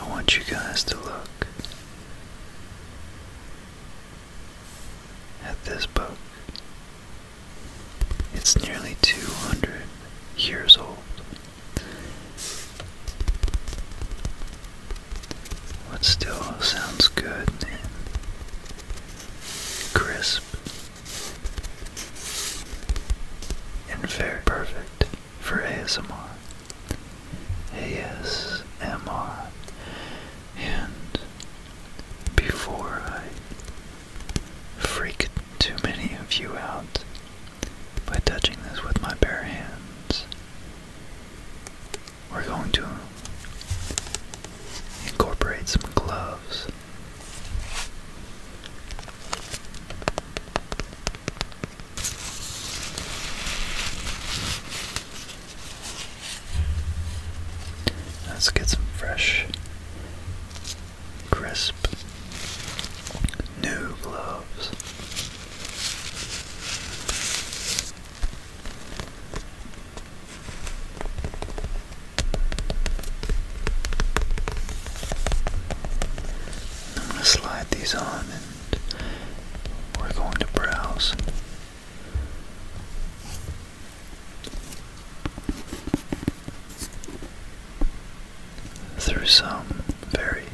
I want you guys to look at this book it's nearly 200 years old. What still sounds good and crisp and very perfect for ASMR. ASMR. And before I freak too many of you out by touching this with my bare hands. We're going to incorporate some gloves. Let's get some fresh crisp new gloves. I'm going to slide these on and we're going to browse through some very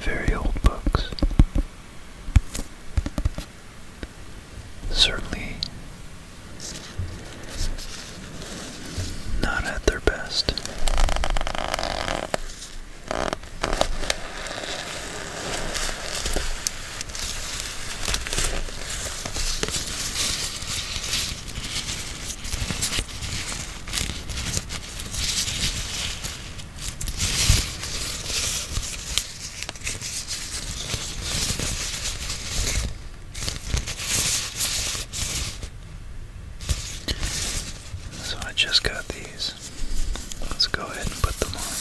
very old books. Certainly not at their best. So I just got these Let's go ahead and put them on.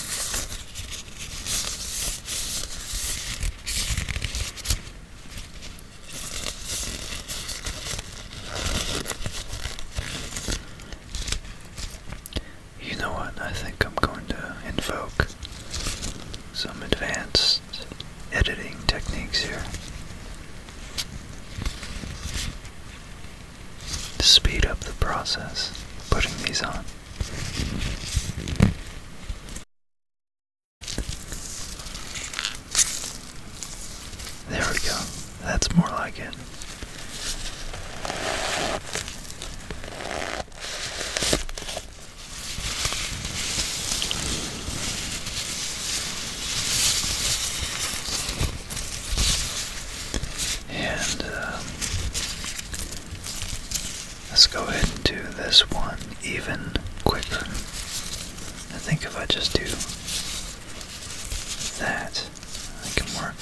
You know what? I think I'm going to invoke some advanced editing techniques here to speed up the process putting these on. There we go. That's more like it. And uh, let's go ahead and do this one even quicker. I think if I just do that, it can work.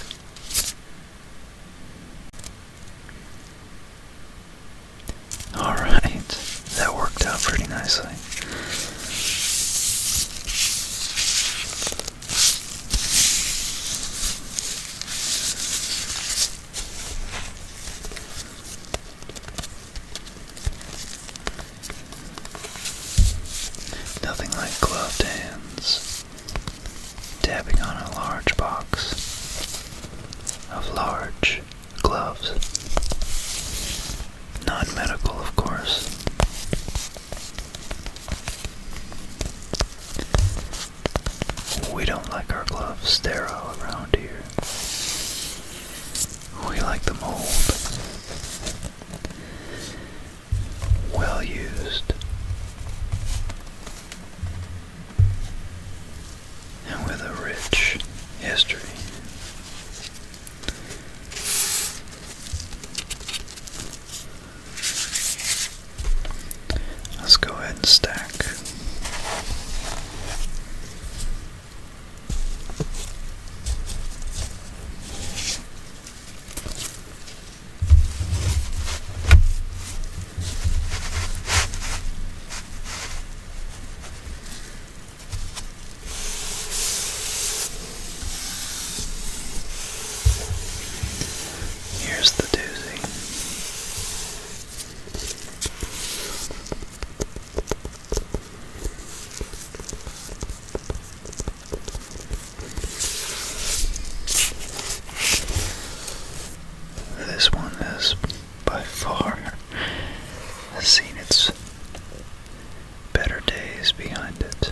Alright, that worked out pretty nicely. Nothing like gloved hands tapping on a large box of large gloves. Non medical, of course. We don't like our gloves sterile around here. We like the mold, well used, and with a rich history. Let's go ahead and stack. Here's the doozy. This one has by far seen its better days behind it.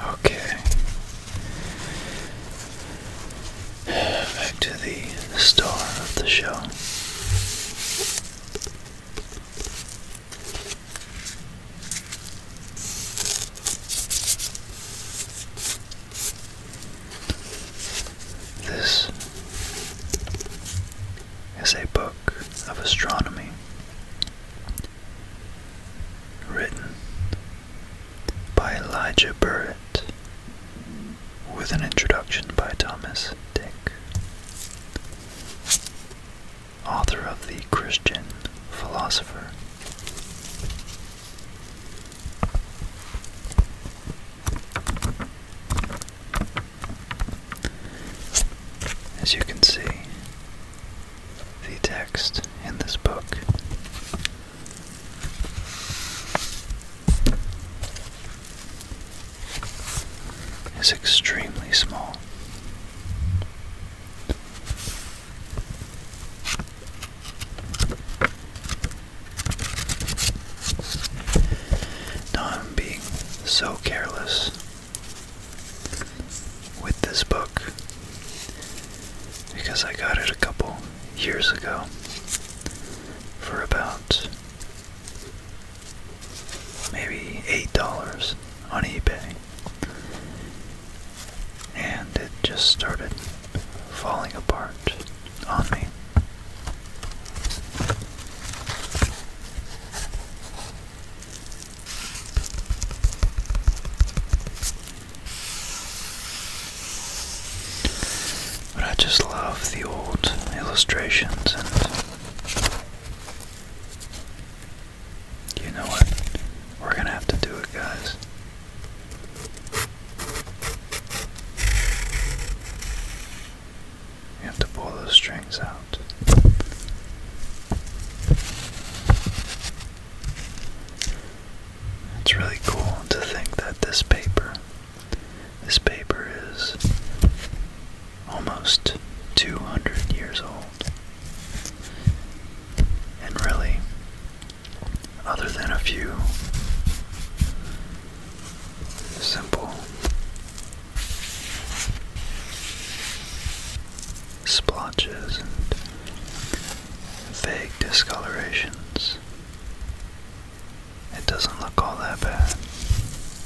Okay. Back to the star of the show. This is a book of astronomy written by Elijah Burritt with an introduction by Thomas Dick author of The Christian Philosopher. As you can see, the text in this book is extremely small. Now I'm being so careless with this book because I got it a couple years ago for about maybe $8 on eBay. And it just started falling apart on me. But I just love the old illustrations and you know what? We're gonna have to do it, guys. You have to pull those strings out. It's really cool to think that this paper, this paper is almost 200 years old. And really, other than a few simple splotches and vague discolorations, it doesn't look all that bad.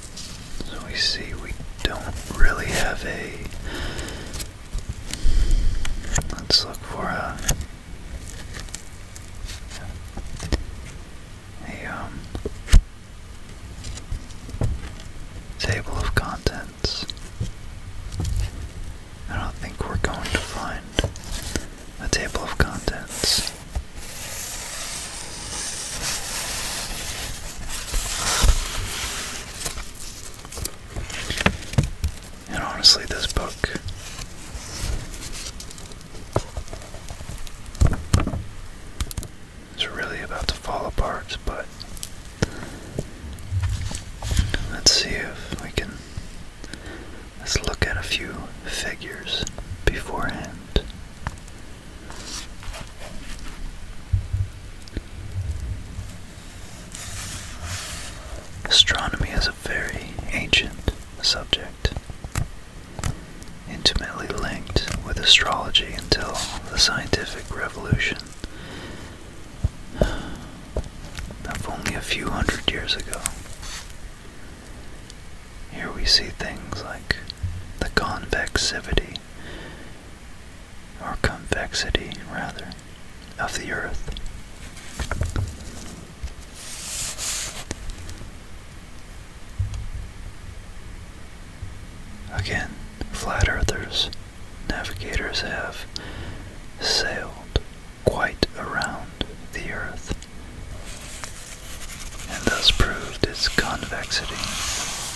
So we see we don't really have a. Let's look for a. A um, table of contents. I don't think we're going to find a table of contents. And honestly, this book is really about to fall apart, but let's see if we can. Let's look at a few figures beforehand. Astronomy is a very ancient subject, intimately linked with astrology until the scientific revolution of only a few hundred years ago. Here we see things like the convexity or convexity rather, of the earth. Again, flat earthers, navigators have sailed quite around the earth and thus proved its convexity.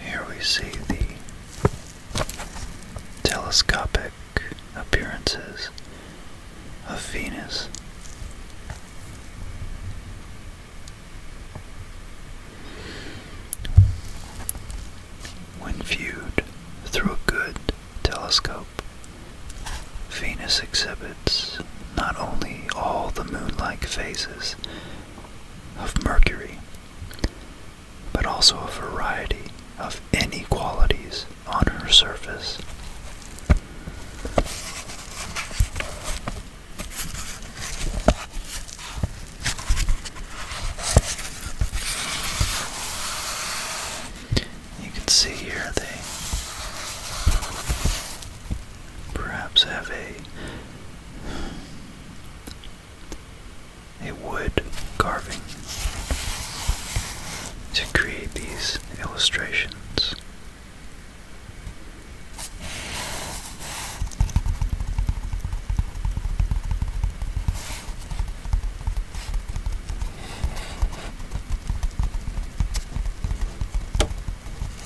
Here we see the telescopic appearances of Venus. When viewed through a good telescope, Venus exhibits not only all the moon-like phases of Mercury, but also a variety of inequalities on her surface. You can see here they perhaps have a a wood carving to create these illustrations.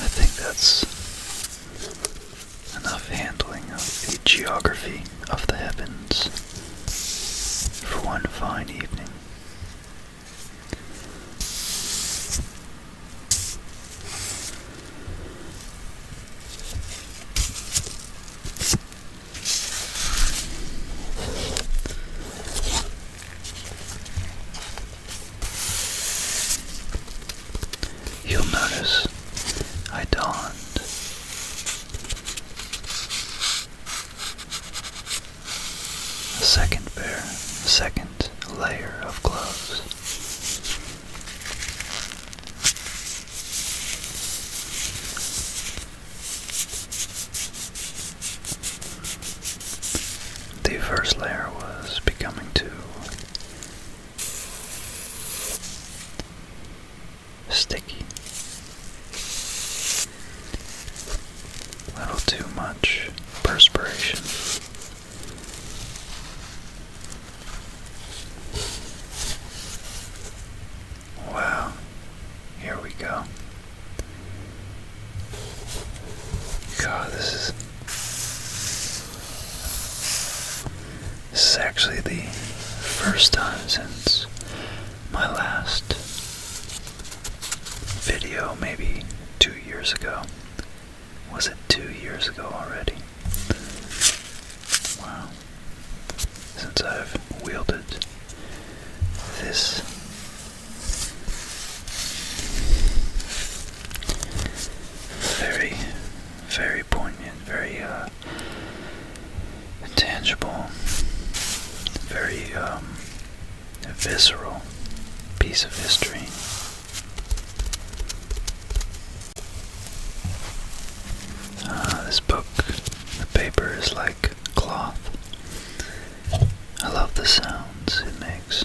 I think that's enough handling of the geography of the heavens for one fine evening. You'll notice I donned a second pair, second layer of gloves. The first layer was becoming too sticky, a little too much perspiration. Wow, here we go. God, this is. This is actually the first time since my last video, maybe two years ago, was it two years ago already? Wow. Since I've wielded this. Very, very poignant, very uh, tangible, very um, visceral piece of history. Ah, this book, the paper is like cloth. I love the sounds it makes.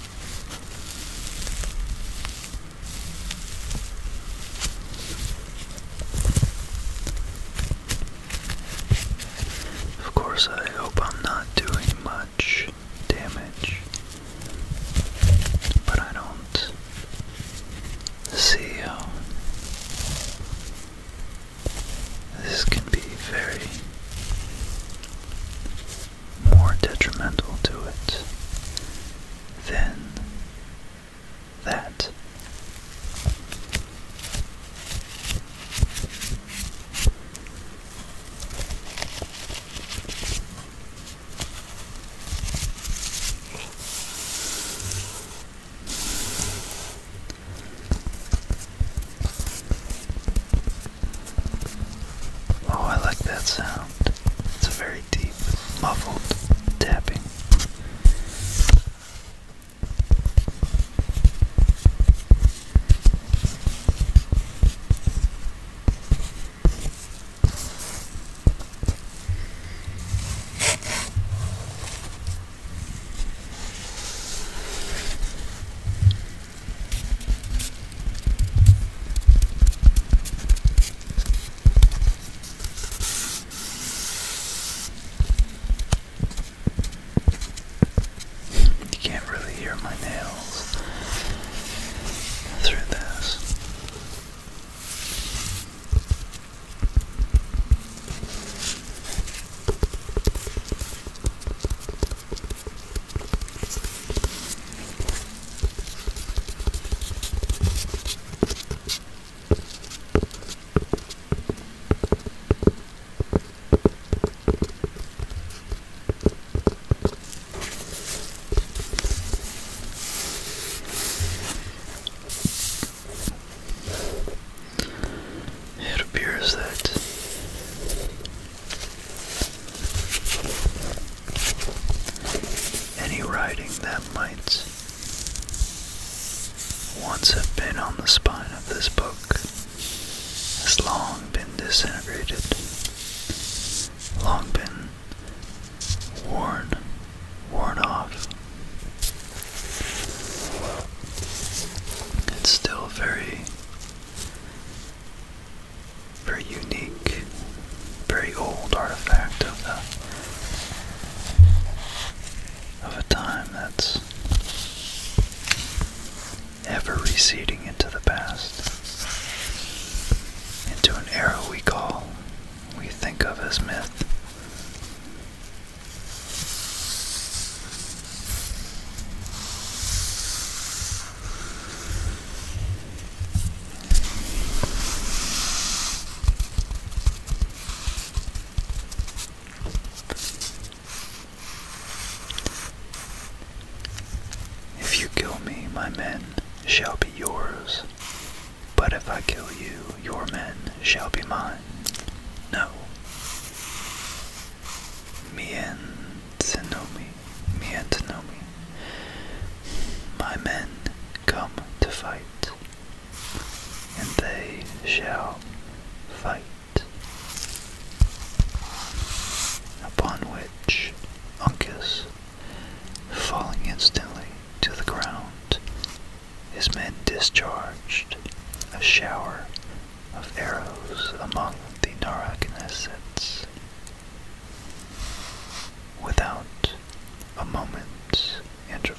Of course, I hope I'm not doing much damage, but I don't see how this can be very more detrimental to it than that. Oh, I like that sound. It's a very deep, muffled tapping. You can't really hear my nails through this. It appears that any writing that might once have been on the spine of this book has long been disintegrated, long been worn, worn off. It's still very very unique, very old artifact of the of a time that's ever receding into the past, into an era we call, we think of as myth. If you kill me, my men shall be yours. But if I kill you, your men shall be mine. No. Mien Senomi. Miyatanomi. My men come to fight, and they shall fight. Upon which Uncas, falling instantly to the ground, his men discharged a shower of arrows among the Narragansetts. Without a moment's interval.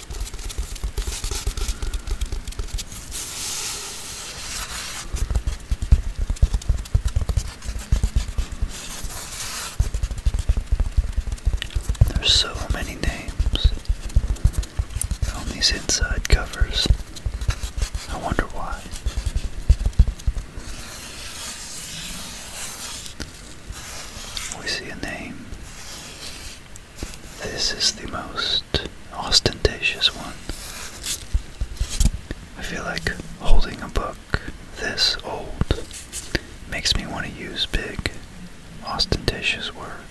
There's so many names on these inside covers. I wonder why. We see a name this is the most ostentatious one. I feel like holding a book this old makes me want to use big, ostentatious words.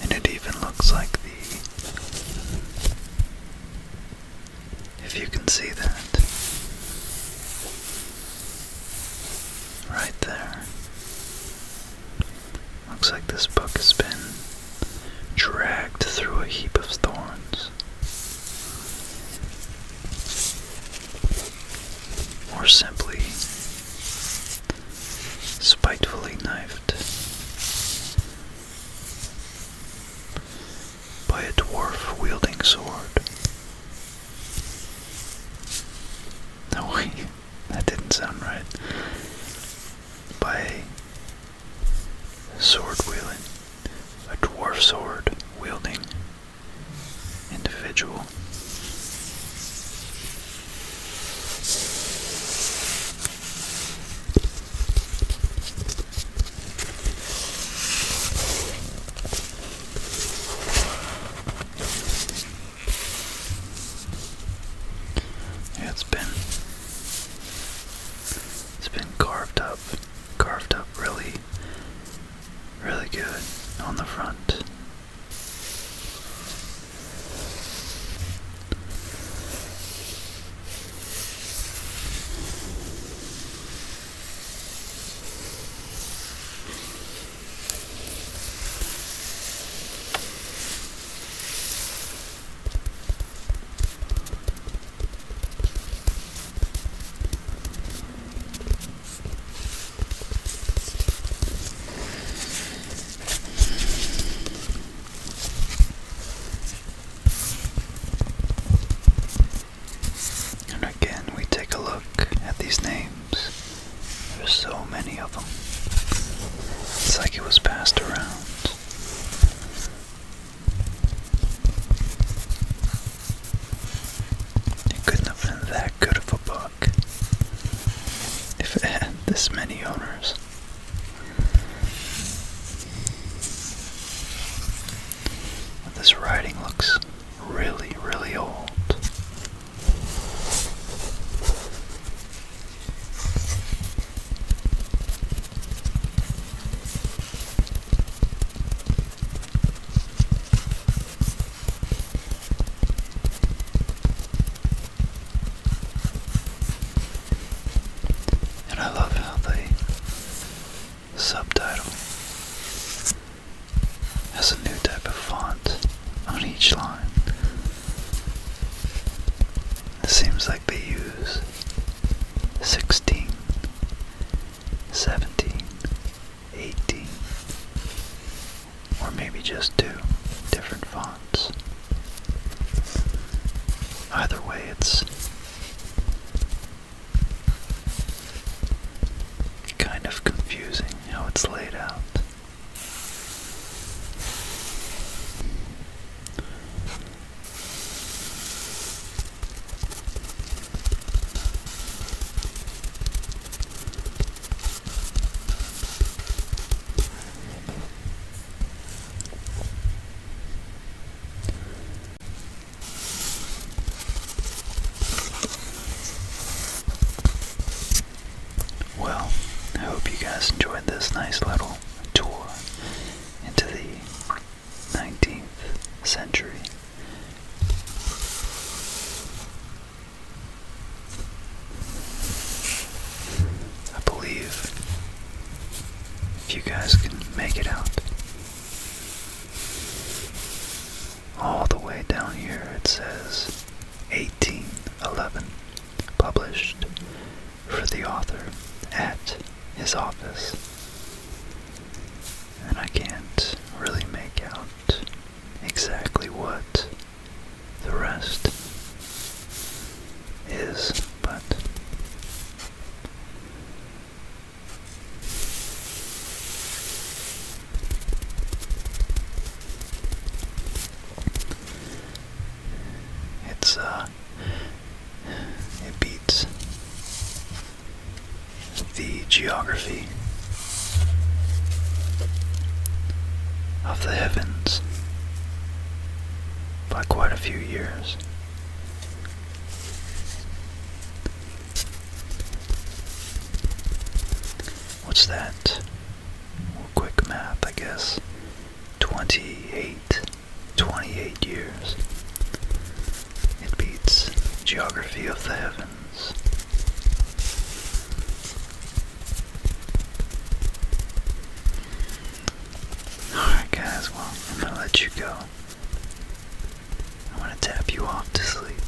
And it even looks like the if you can see that right there. Looks like this book has been dragged through a heap of thorns. Or simply spitefully knifed by a dwarf wielding sword. No, that didn't sound right. By Sword wielding. A dwarf sword wielding individual. it's been it's been carved up, carved up really, really good on the front. And again, we take a look at these names. There's so many of them. It's like it was passed around. It couldn't have been that good of a book if it had this many owners. this writing looks really, really old. And I love how the subtitle has a new type of font on each line. It seems like they use 16, 17, 18, or maybe just two different fonts. Either way, it's kind of confusing how it's laid out. Well, I hope you guys enjoyed this nice little Royal Tour into the 19th century. I believe if you guys can make it out all the way down here, it says 1811 published for the author at his office. And I can't really make out exactly what the rest is, but it's a. Uh, it beats the geography of the heavens by quite a few years. What's that? quick math, I guess. Twenty eight 28 years. It beats Geography of the Heavens. Alright, guys, well, I'm gonna let you go. I wanna tap you off to sleep.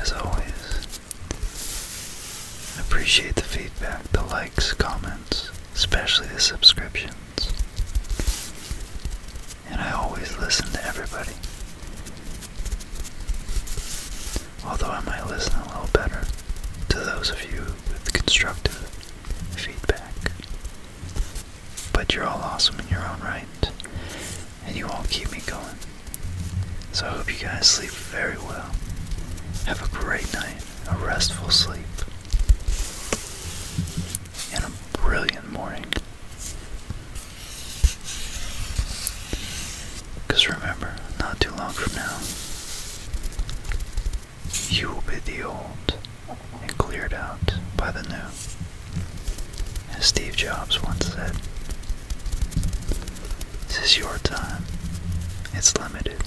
As always, I Appreciate the feedback, the likes, comments, especially the subscriptions. And I always listen to everybody. Although I might listen a little better to those of you with constructive feedback. But you're all awesome in your own right, and you all keep me going. So I hope you guys sleep very well. Have a great night, a restful sleep, and a brilliant morning. Because remember, not too long from now, you will be the old and cleared out by the new. As Steve Jobs once said, this is your time. It's limited.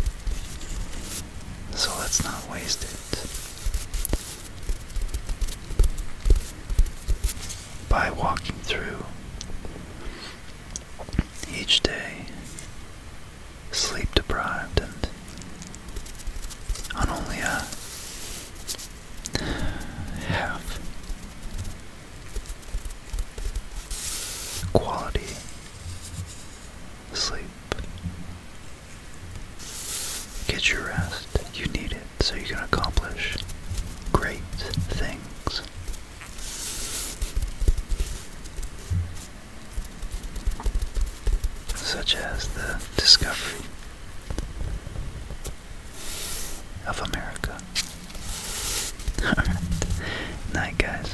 So let's not waste it. By walking through each day, sleep deprived and on only a half quality sleep. Get your rest. You need it so you can accomplish great things. Such as the discovery of America. Night, guys.